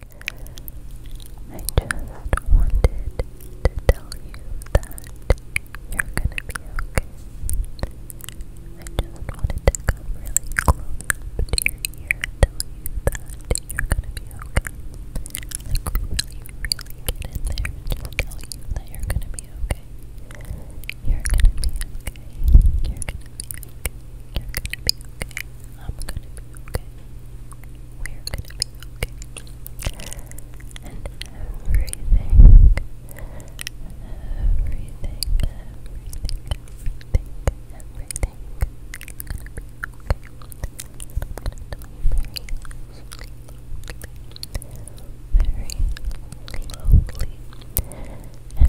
I just wanted to tell you that you're gonna be okay. I just wanted to come really close to your ear and tell you that you're gonna be okay. really, really get in there and tell you that you're gonna be okay. You're gonna be okay. You're gonna be You're gonna be okay okay. I'm gonna be okay. We're gonna be okay. And everything, everything, everything, everything, everything is gonna be okay. you very slowly, and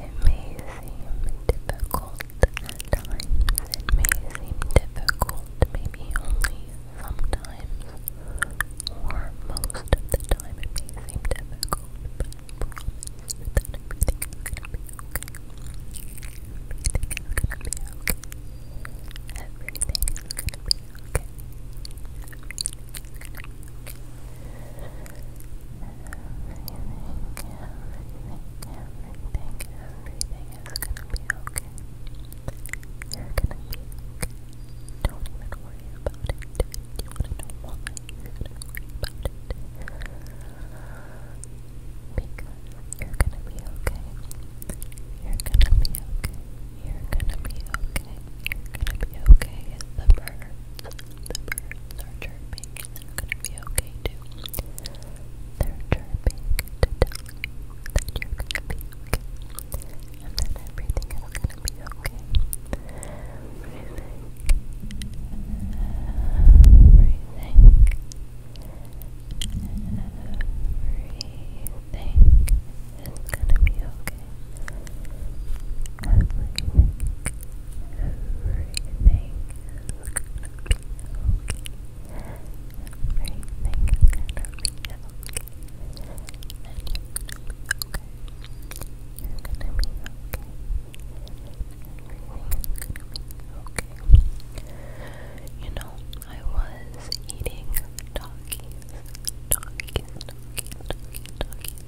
It may seem difficult at times, it may seem difficult maybe only sometimes, or most of the time it may seem difficult, but Everything is gonna be okay. Everything is gonna be okay. Everything is gonna be okay everything, everything is gonna be okay. You're gonna be okay. Don't even worry about it. Do you want worry about it? Because you're gonna be okay. You're gonna be okay. You're gonna be okay. You're gonna be okay. The birds, the birds are chirping chirping and gonna be okay too. They're chirping to tell you that you're gonna be okay. And that everything is gonna be okay. Everything. Everything is gonna be okay everything, everything is gonna be okay. Everything is gonna be okay. And you're gonna be okay. You're gonna be okay. Everything is gonna be okay. You know, I was eating doggies, doggies, doggies, doggies, doggies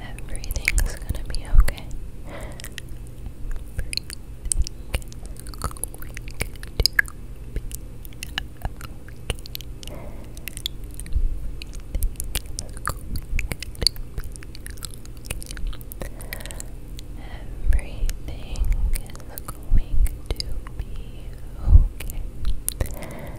Everything's gonna be okay. Everything going to be okay. Everything going to be okay.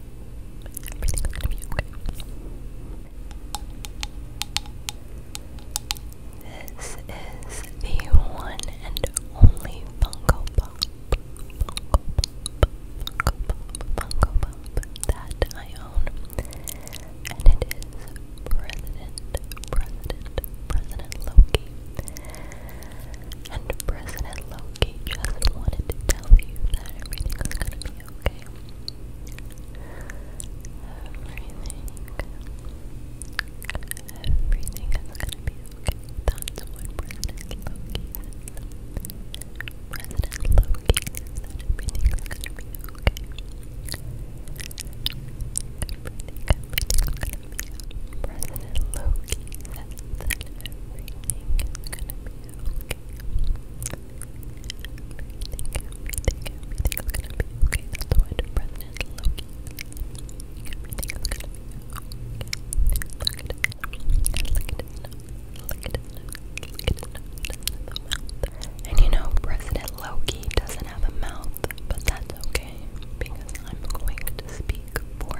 Everything's going This is the one and only Funko Pop, Funko Pop, Funko Pop, Funko Pop that I own, and it is President, President, President Loki. And President Loki just wanted tell you gonna be okay. Everything, everything gonna be okay. That's what President Loki says. President Loki says that gonna be okay. Everything, gonna be okay. President Loki says that everything gonna be everything And you know, President Loki doesn't have a mouth, but that's okay because I'm going to speak for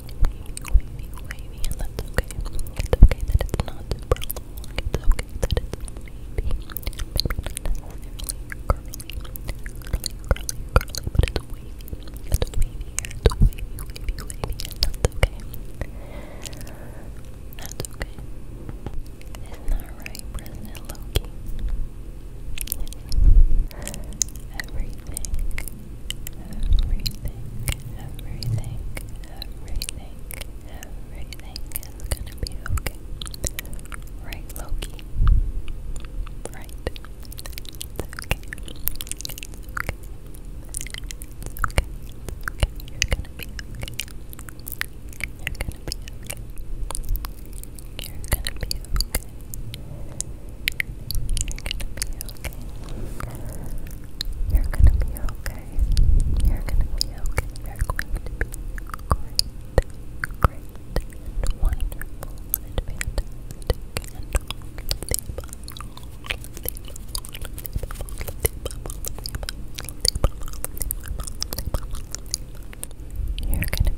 wavy, wavy, okay. It's okay that it's not super It's okay that it's wavy, maybe not necessarily curly, curly, curly, curly, but it's wavy. It's wavy here. It's wavy, wavy, wavy, and that's okay. That's okay. Isn't that right, President Loki? Yes. Everything Everything, everything, everything, everything is gonna be okay. Right, Loki? Right. It's okay. It's okay. It's okay. It's okay. you gonna be okay. you gonna be okay. you gonna be okay. You're gonna be okay. You're gonna be okay. You're going to be great, great, and wonderful, and fantastic, and you're gonna be okay, you're gonna be okay.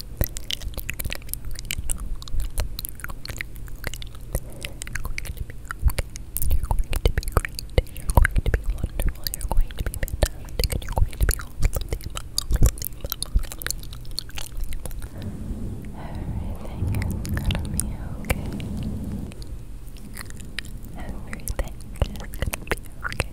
You're going to be you wonderful. You're going to be fantastic. And you're going to be all Everything is gonna be okay. Everything is gonna be okay.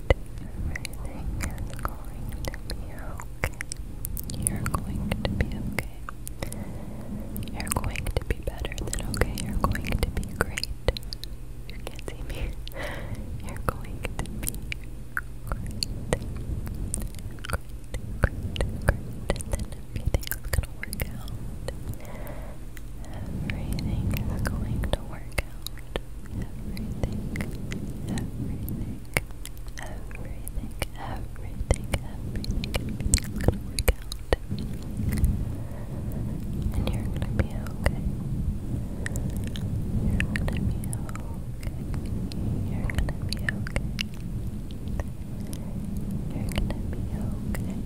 Everything is going to be okay. You're going to be okay. You're going to be better than okay. You're going to be great. You can see me. You're going to be great. Great, great, great. And then everything's gonna work out. Everything is going to work count everything, everything, everything, everything, everything, everything's gonna work out. And you're gonna be okay. You're gonna be okay. You're gonna be okay. You're gonna be okay.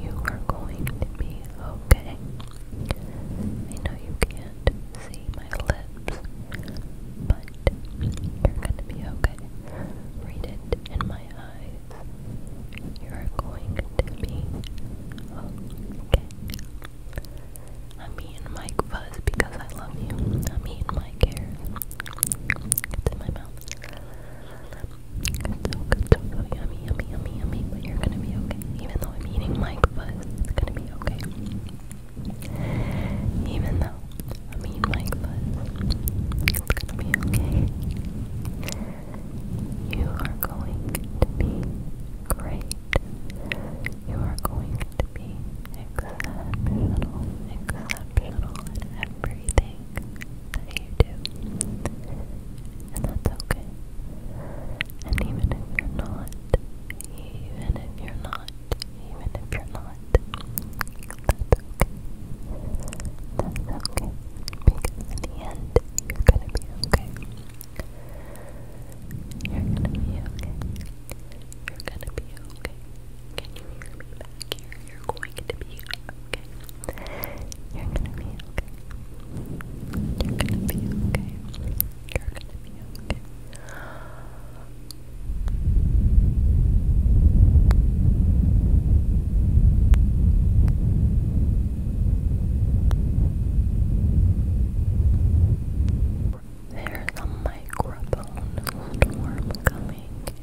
You are going to be okay. I know you can't see my lips, but you're going to be okay. Read it in my eyes. You're going to be okay. I'm eating Mike Fuzz because I love you. I'm eating my hair. It's in my mouth so good, so, so yummy, yummy, yummy, yummy, but you're gonna be okay. Even though I'm eating my fuzz, it's gonna be okay. Even though I'm eating my fuzz, it's gonna be okay. You are going to be great. You are going to be exceptional, exceptional at everything that you do. And that's okay. And even if you're not, even if you're not, even if you're not, that's okay. That's okay. Because in the end, you're gonna be okay. You're gonna be okay. You're gonna be okay. Can you hear me back you're going to be okay. You're gonna be okay. You're gonna be okay. You're gonna be okay. There's a microphone storm coming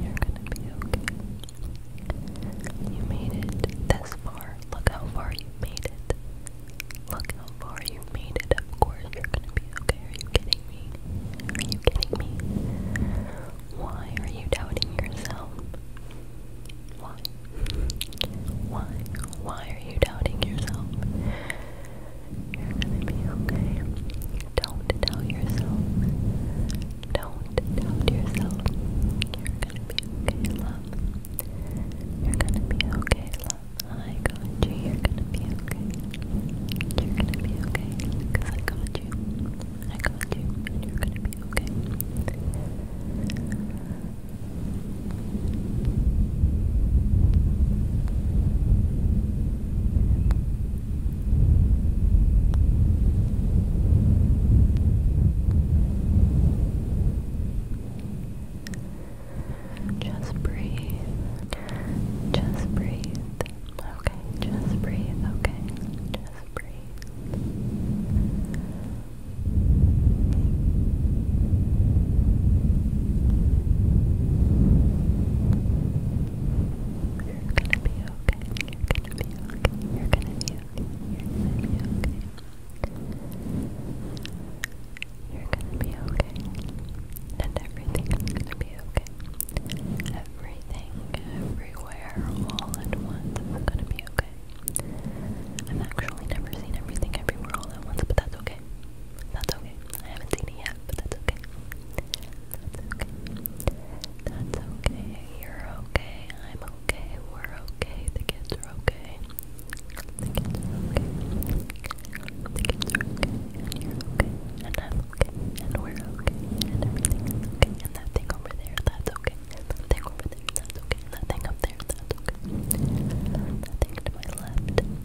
You're gonna be okay. You made it this far. Look how far you made it. Look how far you made it. Of course, you're gonna be okay. Are you kidding me? Are you kidding me? Why are you doubting yourself? Why? Why? Why are you doubting yourself? You're gonna be okay. Don't doubt yourself. Don't doubt yourself. You're gonna be okay, love. You're gonna be okay, love. I got you. You're gonna be okay. You're gonna be okay. Cause I got you. I got you. And you're gonna be okay. Just breathe. Just breathe. Okay, just breathe. Okay, just breathe. You're gonna be okay. You're gonna be okay. You're gonna be okay. You're gonna be okay. You're gonna be okay. And everything gonna be okay. Everything, everywhere, all at once is gonna be okay. I've actually never seen everything everywhere all at once, but that's okay. That's okay. I haven't seen it yet, but that's okay. That's okay. That's okay. You're okay. I'm okay. We're okay. The kids are okay. The kids are okay. The kids are okay. you're okay. I'm okay. And we're okay. And everything okay. And that thing over there, that's okay. That thing over there, that's okay. That thing up there, that's okay. That thing to my left,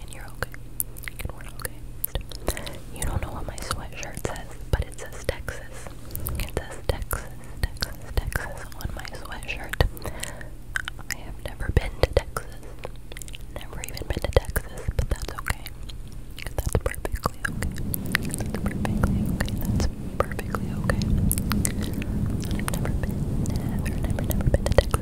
and you're okay, You don't know what my sweatshirt says, but it says Texas. It says Texas, Texas, Texas on my sweatshirt. I have never been to Texas. Never even been to Texas, but that's okay. That's perfectly okay. That's perfectly okay. That's perfectly okay. I've never been, never, never, never been to Texas.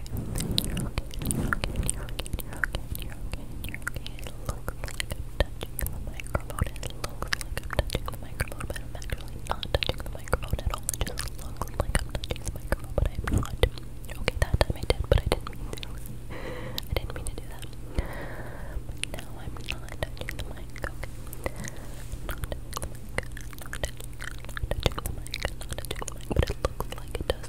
okay, you I'm touching touching the microphone, but I'm actually not touching the microphone at all. just looks I'm touching the microphone, but I'm not. Okay, that I did, but I didn't I didn't mean to do that. now I'm not touching the mic. Not touching the mic. Not touching the mic. Not touching the mic. But it looks like it does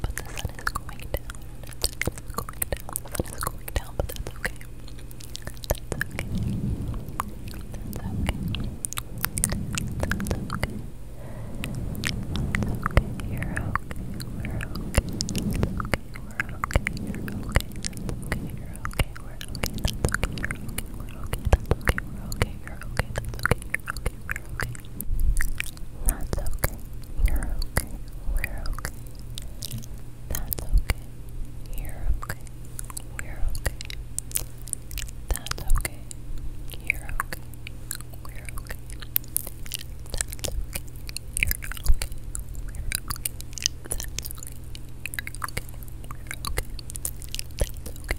But the sun is going down. going down. sun is going down, but that's okay. That's okay. That's okay. That's okay. It's okay. You're okay. We're okay. It's okay. We're okay. You're okay. That's okay. You're okay. We're okay. That's okay. You're okay. we are okay. That's okay. You're okay you you okay. That's okay. You're okay. We're okay. That's okay. You're okay. We're okay. That's okay. You're okay. We're okay. That's okay. You're okay. We're okay. That's okay.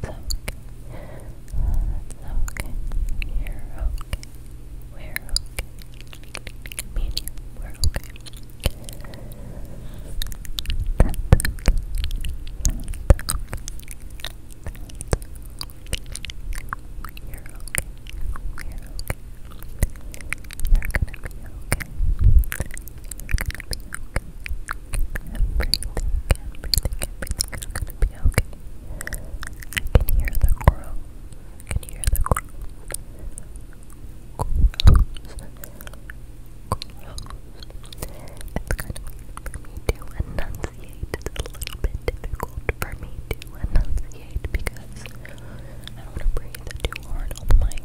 It's okay. It's okay. You're okay. We're okay. Me and you, we're okay. That's okay. That's okay. You're okay. You're okay. You're gonna be okay. You're gonna be okay everything, everything, everything's gonna be okay. I can hear the crow. I can hear the crow. It's kind for me to enunciate. It's a little bit difficult for me to enunciate because I don't want to breathe too hard on the mic.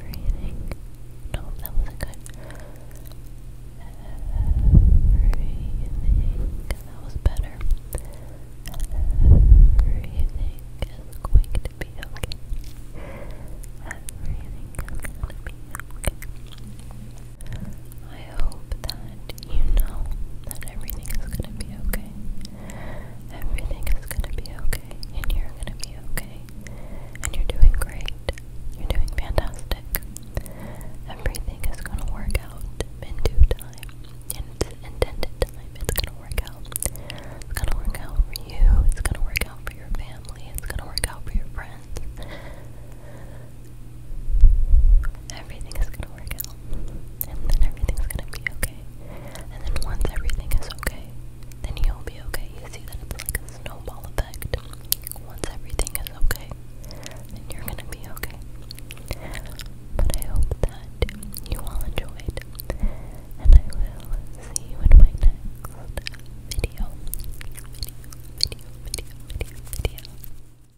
Everything. No, that wasn't good. Everything. That was better. Everything is going to be okay. Everything is going to be okay. I hope that you know that everything is going to be okay. Everything is going to be okay, and you're going to be okay, and you're doing great. You're doing fantastic. Everything is going to work out in due time, in its intended time. It's going to work out. It's going to work out for you. It's going to work out for your family. It's going to work out for your friends everything is gonna work out. And then everything's gonna be okay. And then once everything is okay, then you'll be okay. You see that it's like a snowball effect. Once everything is okay, then you're gonna be okay. But I hope that you all enjoyed. And I will see you in my next video. Video, video, video, video, video.